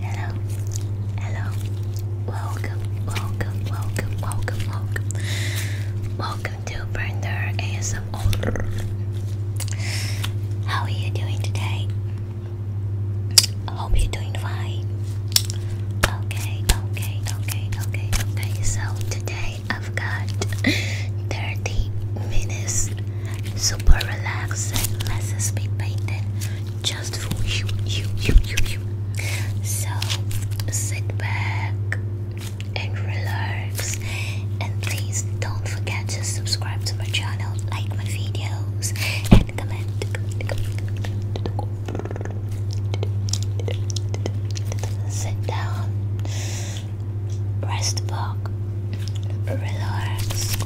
Hello, hello, welcome, welcome, welcome, welcome, welcome, welcome to Brenda ASMR. How are you doing today? hope you're doing fine. Okay, okay, okay, okay, okay. So today I've got 30 minutes super relaxed lessons been painted just for you, you, you, you, you. So sit back and relax, and please don't forget to subscribe to my channel, like my videos, and comment. Sit down Rest back. Relax.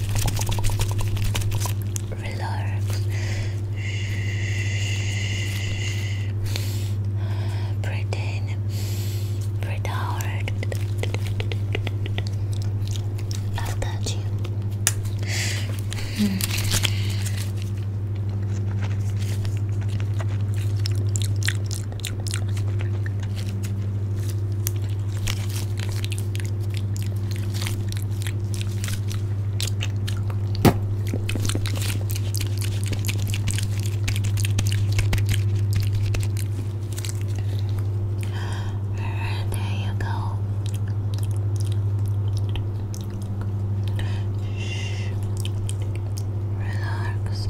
Relax. Breathe in. Breathe out. I'll touch you. Mm. Alright, there you go. Shh. Relax.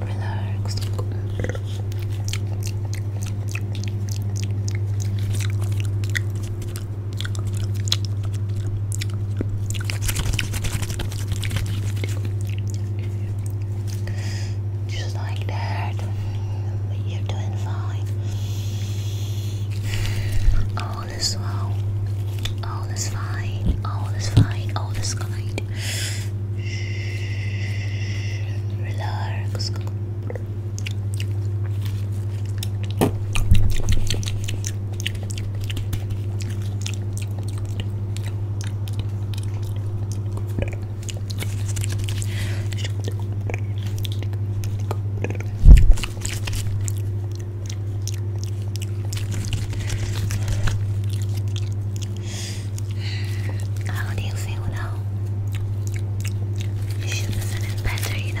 Relax. Just like that, you're doing fine. Oh, all is well, all is fine, all oh, is fine, all oh, is kind. Relax. How do you feel now? You should be feeling better, you know.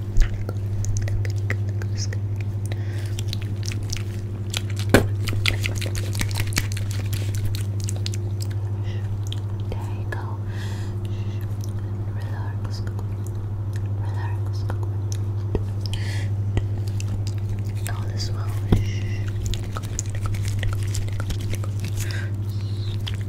There you go. Relax. Relax. All is well.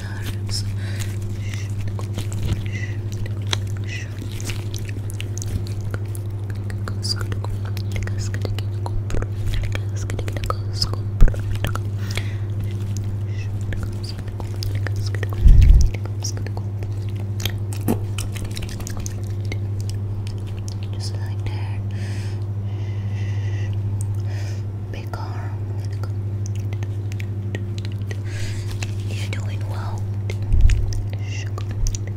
relax. Just like that. You're doing well. You're doing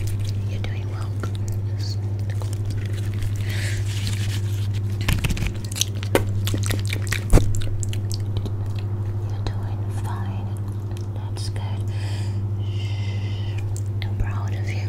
well. You're doing fine. That's good. I'm proud of you.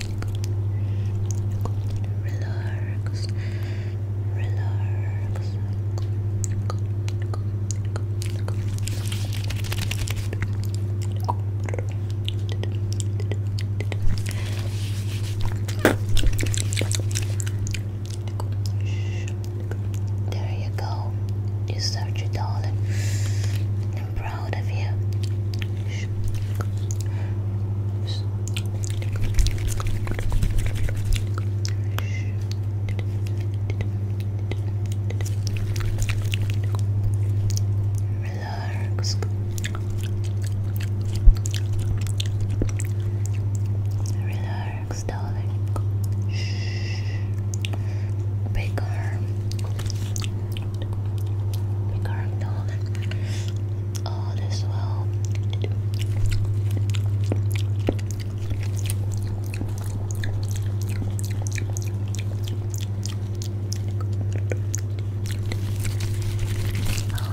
relax, relax. There you go. You search it Relax. Relax, darling. Big arm. Recurring dog. All is well. All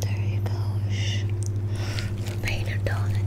There you go. You're paying your darling.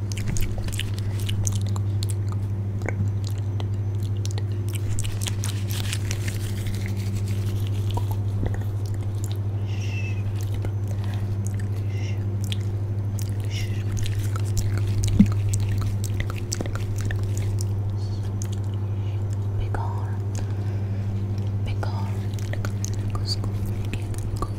Big arm, big arm, go, go, go,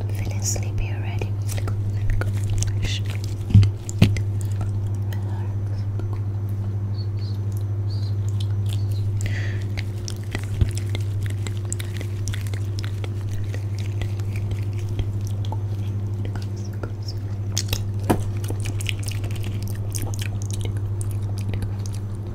I'm feeling sleepy already.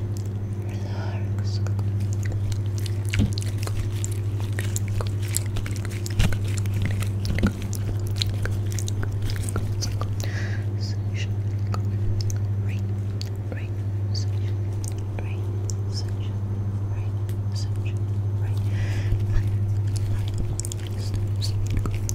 Relax. Sunshine. Rain. Rain. Sunshine. Rain. Sunshine. Rain. Sunshine. Rain. Light.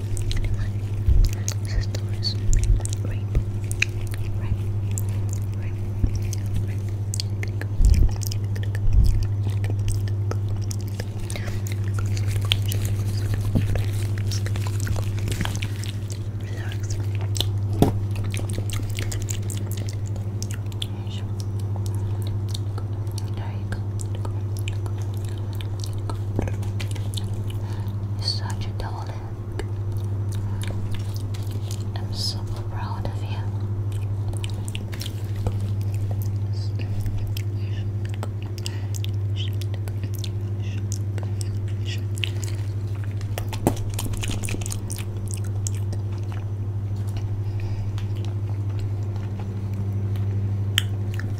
Anyway, this story is rape. Rape. Rape. Rape. Relax. There you go. There you go. There you go. You're such a darling. I'm super proud of you.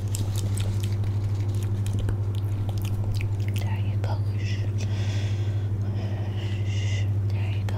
There you go. There you go.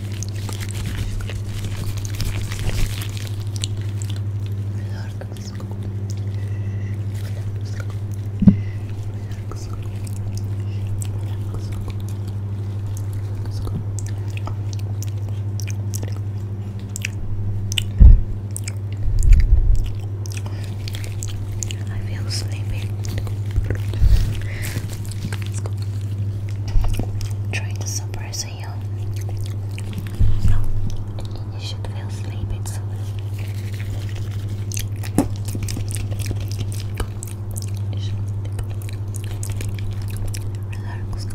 I feel sleepy. trying to suppress to you. So you should feel sleepy soon. Relax. Relax.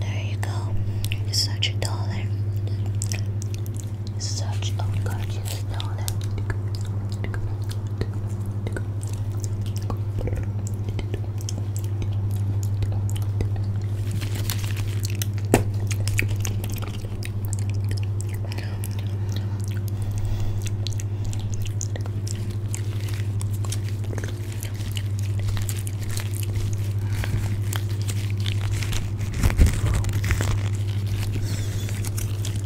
There you go. It's such a dollar. It's such a gorgeous dollar.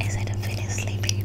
Is it I'm feeling sleepy?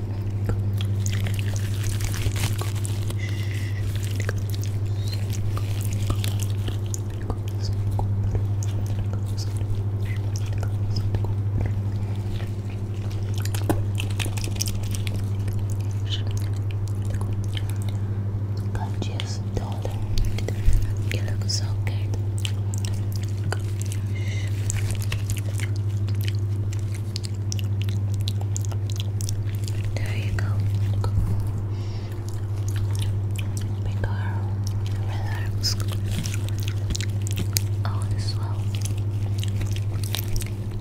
Gorgeous daughter, you look so good. There you go. Big girl, relax. All oh, is well.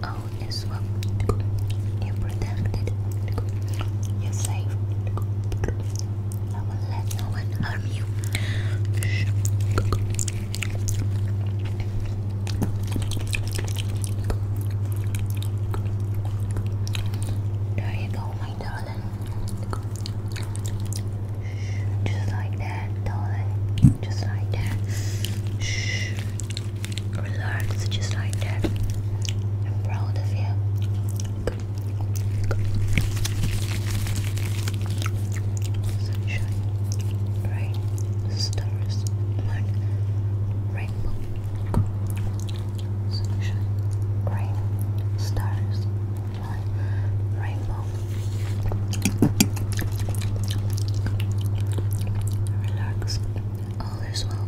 All oh, is well. You're protected. You're safe. I will let no one harm you. There you go, my darling. Just like that, darling. Just like that. Shh. Relax, just like that. I'm proud of you. Sunshine. Right stars, moon, rainbow, sunshine, rain, stars, moon, rainbow. Relax, all is well.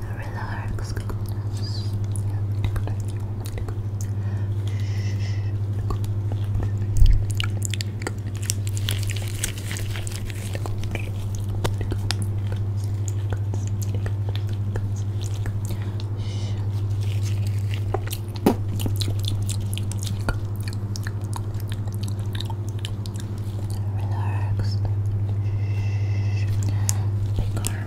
relax. Relaxed.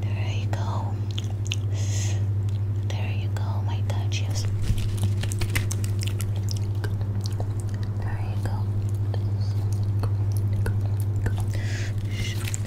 There you go. There you go, my touches. There you go.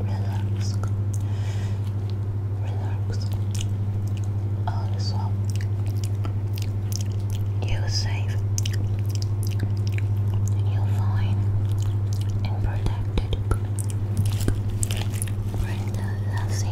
Relax. Relax. Also, you're safe. You're fine and protected. Brenda Relax.